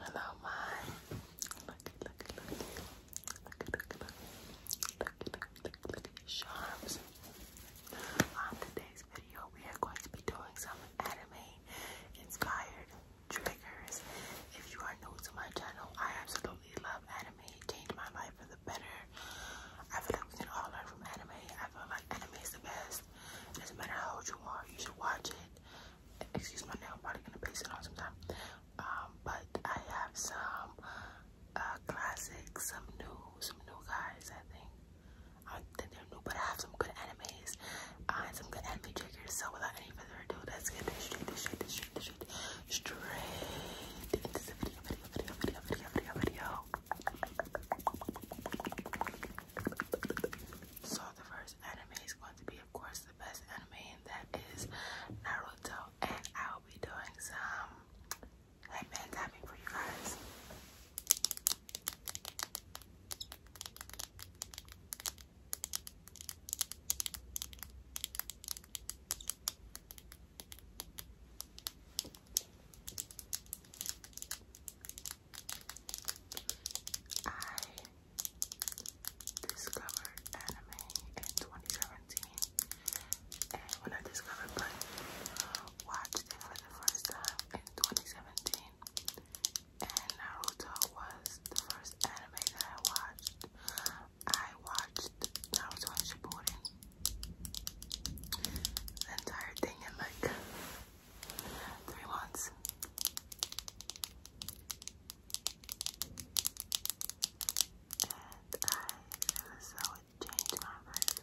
Hello, my. Look, look, look, look, look, look, look, look, look, look charms. On today's video, we are going to be doing some anime-inspired triggers. If you are new to my channel, I absolutely love anime. It changed my life for the better. I feel like we can all learn from anime. I feel like anime is the best. Doesn't matter how old you are, you should watch it. Excuse my nail, I'm probably gonna paste it on sometime. Um, but I have some uh, classics, some new, some new guys, I think. I they're new, but I have some good animes uh, and some good anime triggers. So without any further ado, let's get straight, straight, straight, straight, straight into the video, video, video, video, video, video, video. So the first anime is going to be, of course, the best anime, and that is Naruto. And I'll be doing some headband tapping for you guys. I discovered anime in 2017, and when I discovered Blade, uh, watched it for the first time in 2017, and Naruto was the first anime that I watched. I watched Naruto Shippuden, the entire thing in like Three wands. And I feel as changed my life.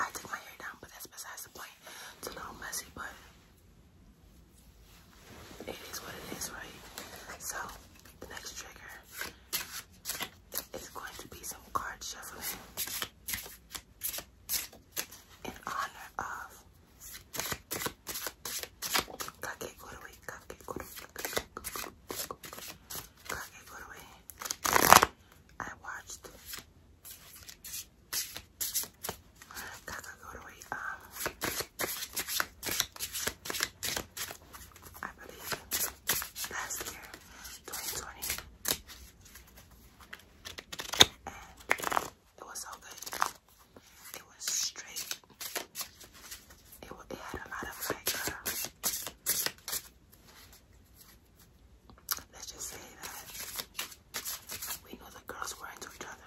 I took my hair down, but that's besides the point. It's messy, but it is what it is, right? So, the next trigger is going to be some card shuffling in honor of Kakegurui, Kakegurui, Kakegurui, Kakegurui. I watched Kakegurui, um, I believe last year, 2020 it was so good. It was straight. It, it had a lot of like, uh, let's just say that we knew the girls were into each other.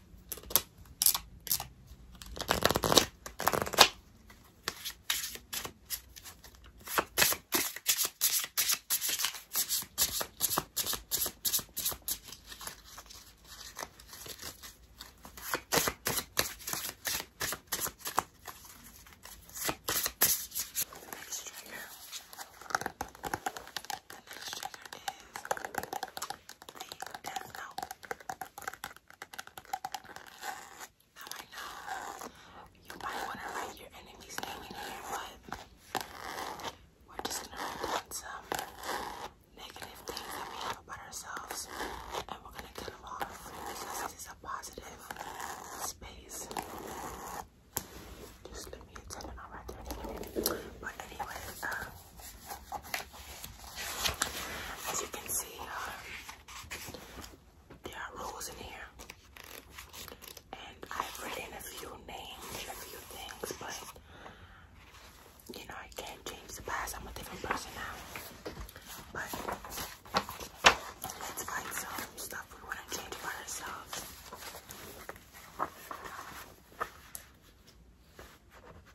The next trigger, the next trigger the Death you might want to write your enemy's name in here, but we're just gonna write down some negative things that we have about ourselves, and we're gonna get them off because this is a positive space. Just let me a 10 and I'll But anyway, um, as you can see, um, there are rules in here, and I've written a few names a few things, but you know, I can't change the past. I'm a different person now, but let's find some stuff we want to change about ourselves.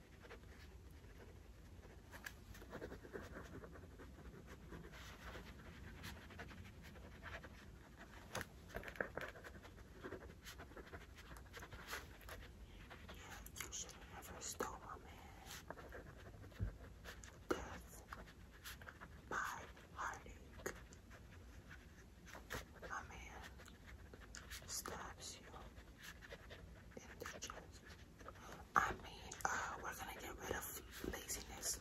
You should have never stole man. Death by heartache. A man stabs you in the chest. I mean, uh, we're gonna get rid of laziness.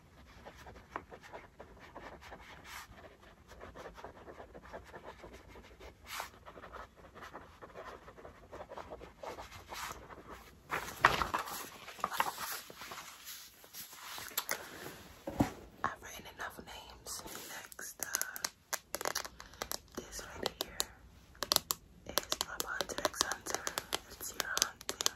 I've written enough names. Next, uh, this right here is my Pontex Hunter. It's your hunting.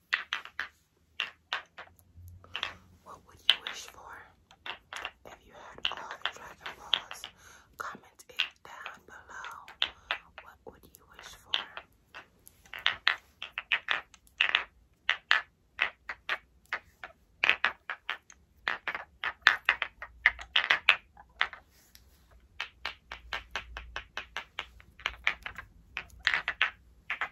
What would you wish for if you had all the Dragon Balls? Comment it down below. What would you wish for?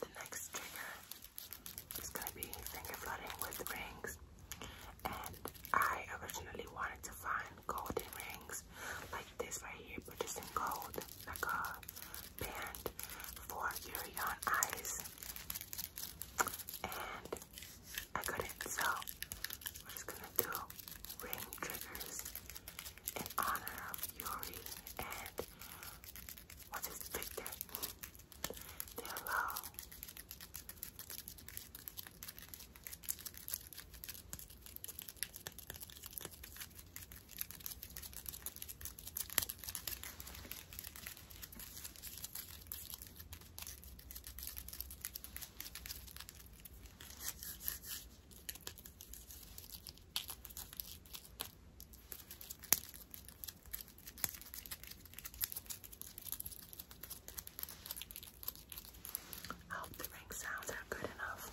The next trigger is going to be finger flooding with rings. And I originally wanted to find golden rings like this right here, but just in gold, like a band for Yuri on and I couldn't, so we're just gonna do ring triggers in honor of Yuri and what's his Victor. They're low. I hope the ring sounds good enough.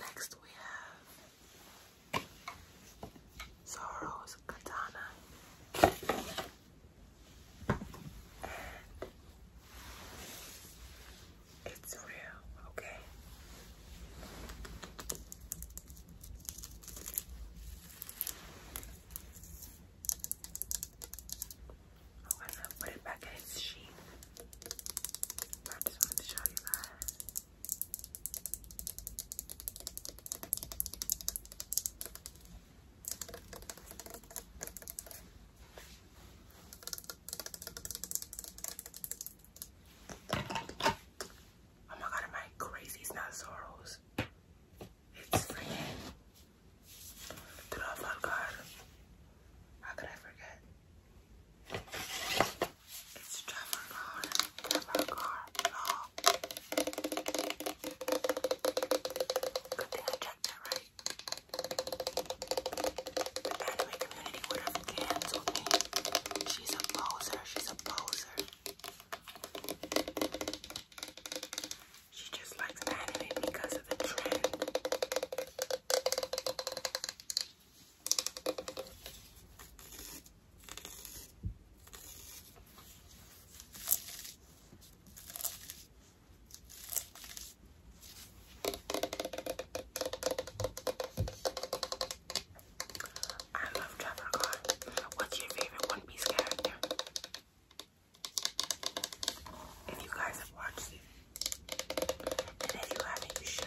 Next we have Zoro's katana it's real, okay? Oh, I'm gonna put it back in its sheath. I just wanted to show you guys. Oh my god, am I crazy? It's not Soros. The love of How could I forget? It's Trafalgar, Trafalgar Law. Oh. Good thing I checked that right. The anime community would have canceled me. She's a poser, she's a poser. She just likes anime because of the trend. I love Trevor Card. What's your favorite One Piece character? If you guys have watched it, and if you haven't, you should.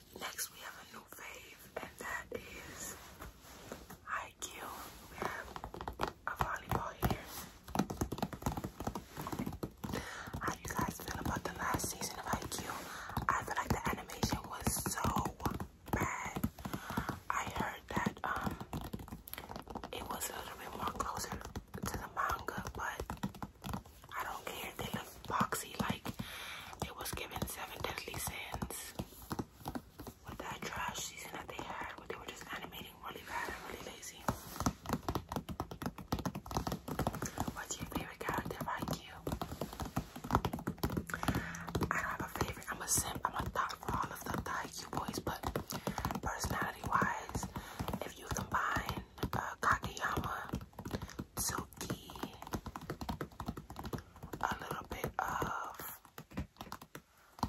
Next, we have a new fave, and that is high kill. We have a volleyball here. How do you guys feel about the last season of IQ? I feel like the animation was so bad. I heard that um it was a little bit more closer to the manga, but I don't care. They look boxy like it was given seven deadly sins. With that trash season that they had where they were just animating really bad and really lazy. What's your favorite character, Thank you? I don't have a favorite. I'm a simp. I'm a thought for all of the IQ boys, but personality-wise, if you combine uh, Kakeyama silky, a little bit of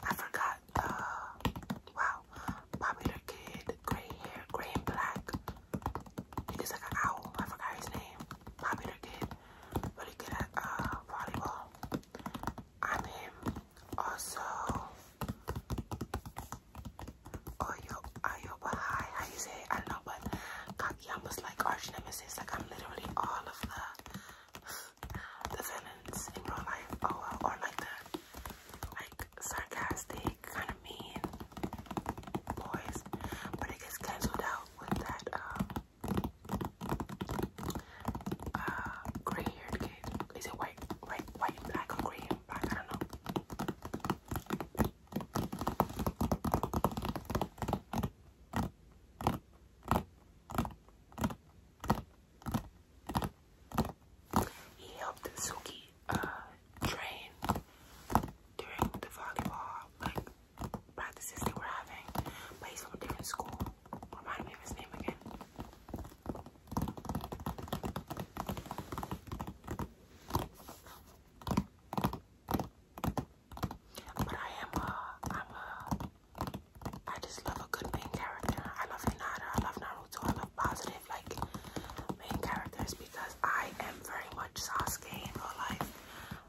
I forgot. Uh, wow, popular kid, gray hair, gray and black. He looks like an owl. I forgot his name. Popular kid, really good at uh, volleyball. I'm him. Also, Oyo Ayoba High. How you say I know, but Takayama's like arch nemesis. Like I'm literally all of the the villains in real life. Oh well, or like the like sarcastic kind of mean boys. But it gets cancelled out with that um uh gray-haired kid. Is it white, white, white and black or gray and black? I don't know. He helped Suki uh, train during the volleyball like practices they were having, but he's from a different school. Remind me of his name again. But I am a, I'm a, I just love a good main character. I love Hinata, I love Naruto, I love positive, like, main characters because I am very much Sasuke in real life.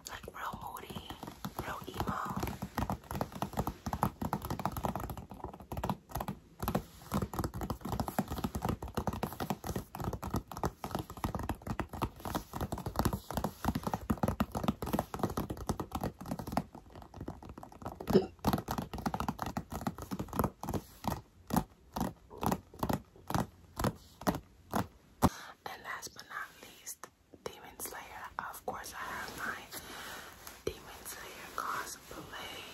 Like, real moody, real emo. And last but not least, Demon Slayer. Of course, I have my Demon Slayer cosplay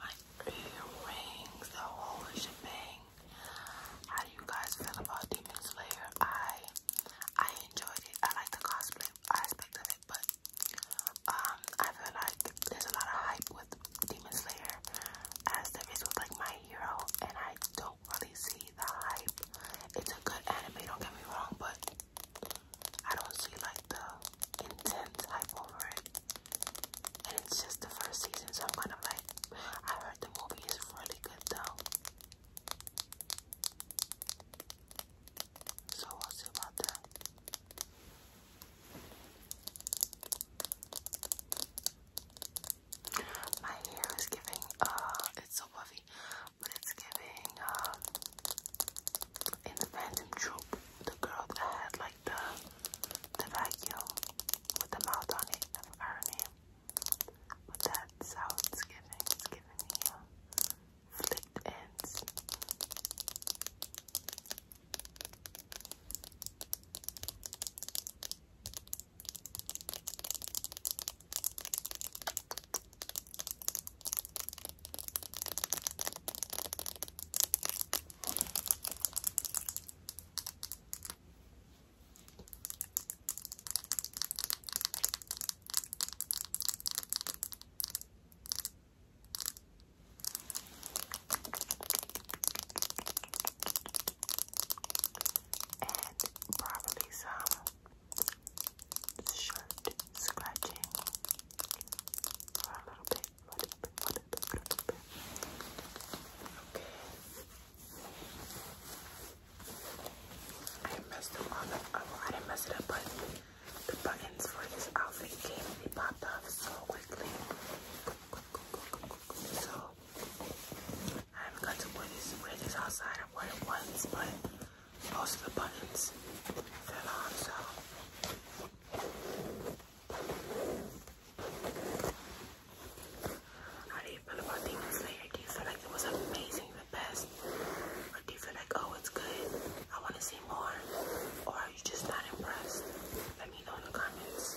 my earrings, the whole shebang. How do you guys feel about Demon Slayer? I I enjoyed it. I like the cosplay aspect of it, but um, I feel like there's a lot of hype with Demon Slayer, as there is with like My Hero, and I don't really see the hype. It's a good anime, don't get me wrong, but I don't see like the intense hype over it and it's just the first season, so I'm kind of like, I heard the movie is really good though. So we'll see about that. My hair is giving, uh, it's so fluffy, but it's giving, um, in the Phantom Troop, the girl that had like the, the vacuum, with the mouth on it, I mean, But that's how giving. giving me uh, flipped ends and probably some shirt scratching for a little bit. Okay. I messed up um, I didn't mess it up, but the buttons for this outfit came, they popped off so quickly. So, I'm going to wear this, outside. I wore it once, but most of the buttons fell off. so. How do you feel about Demon Slayer? Do you feel like it was amazing, the best? do you feel like, oh, it's good, I want to see more? Or are you just not impressed? Let me know in the comments.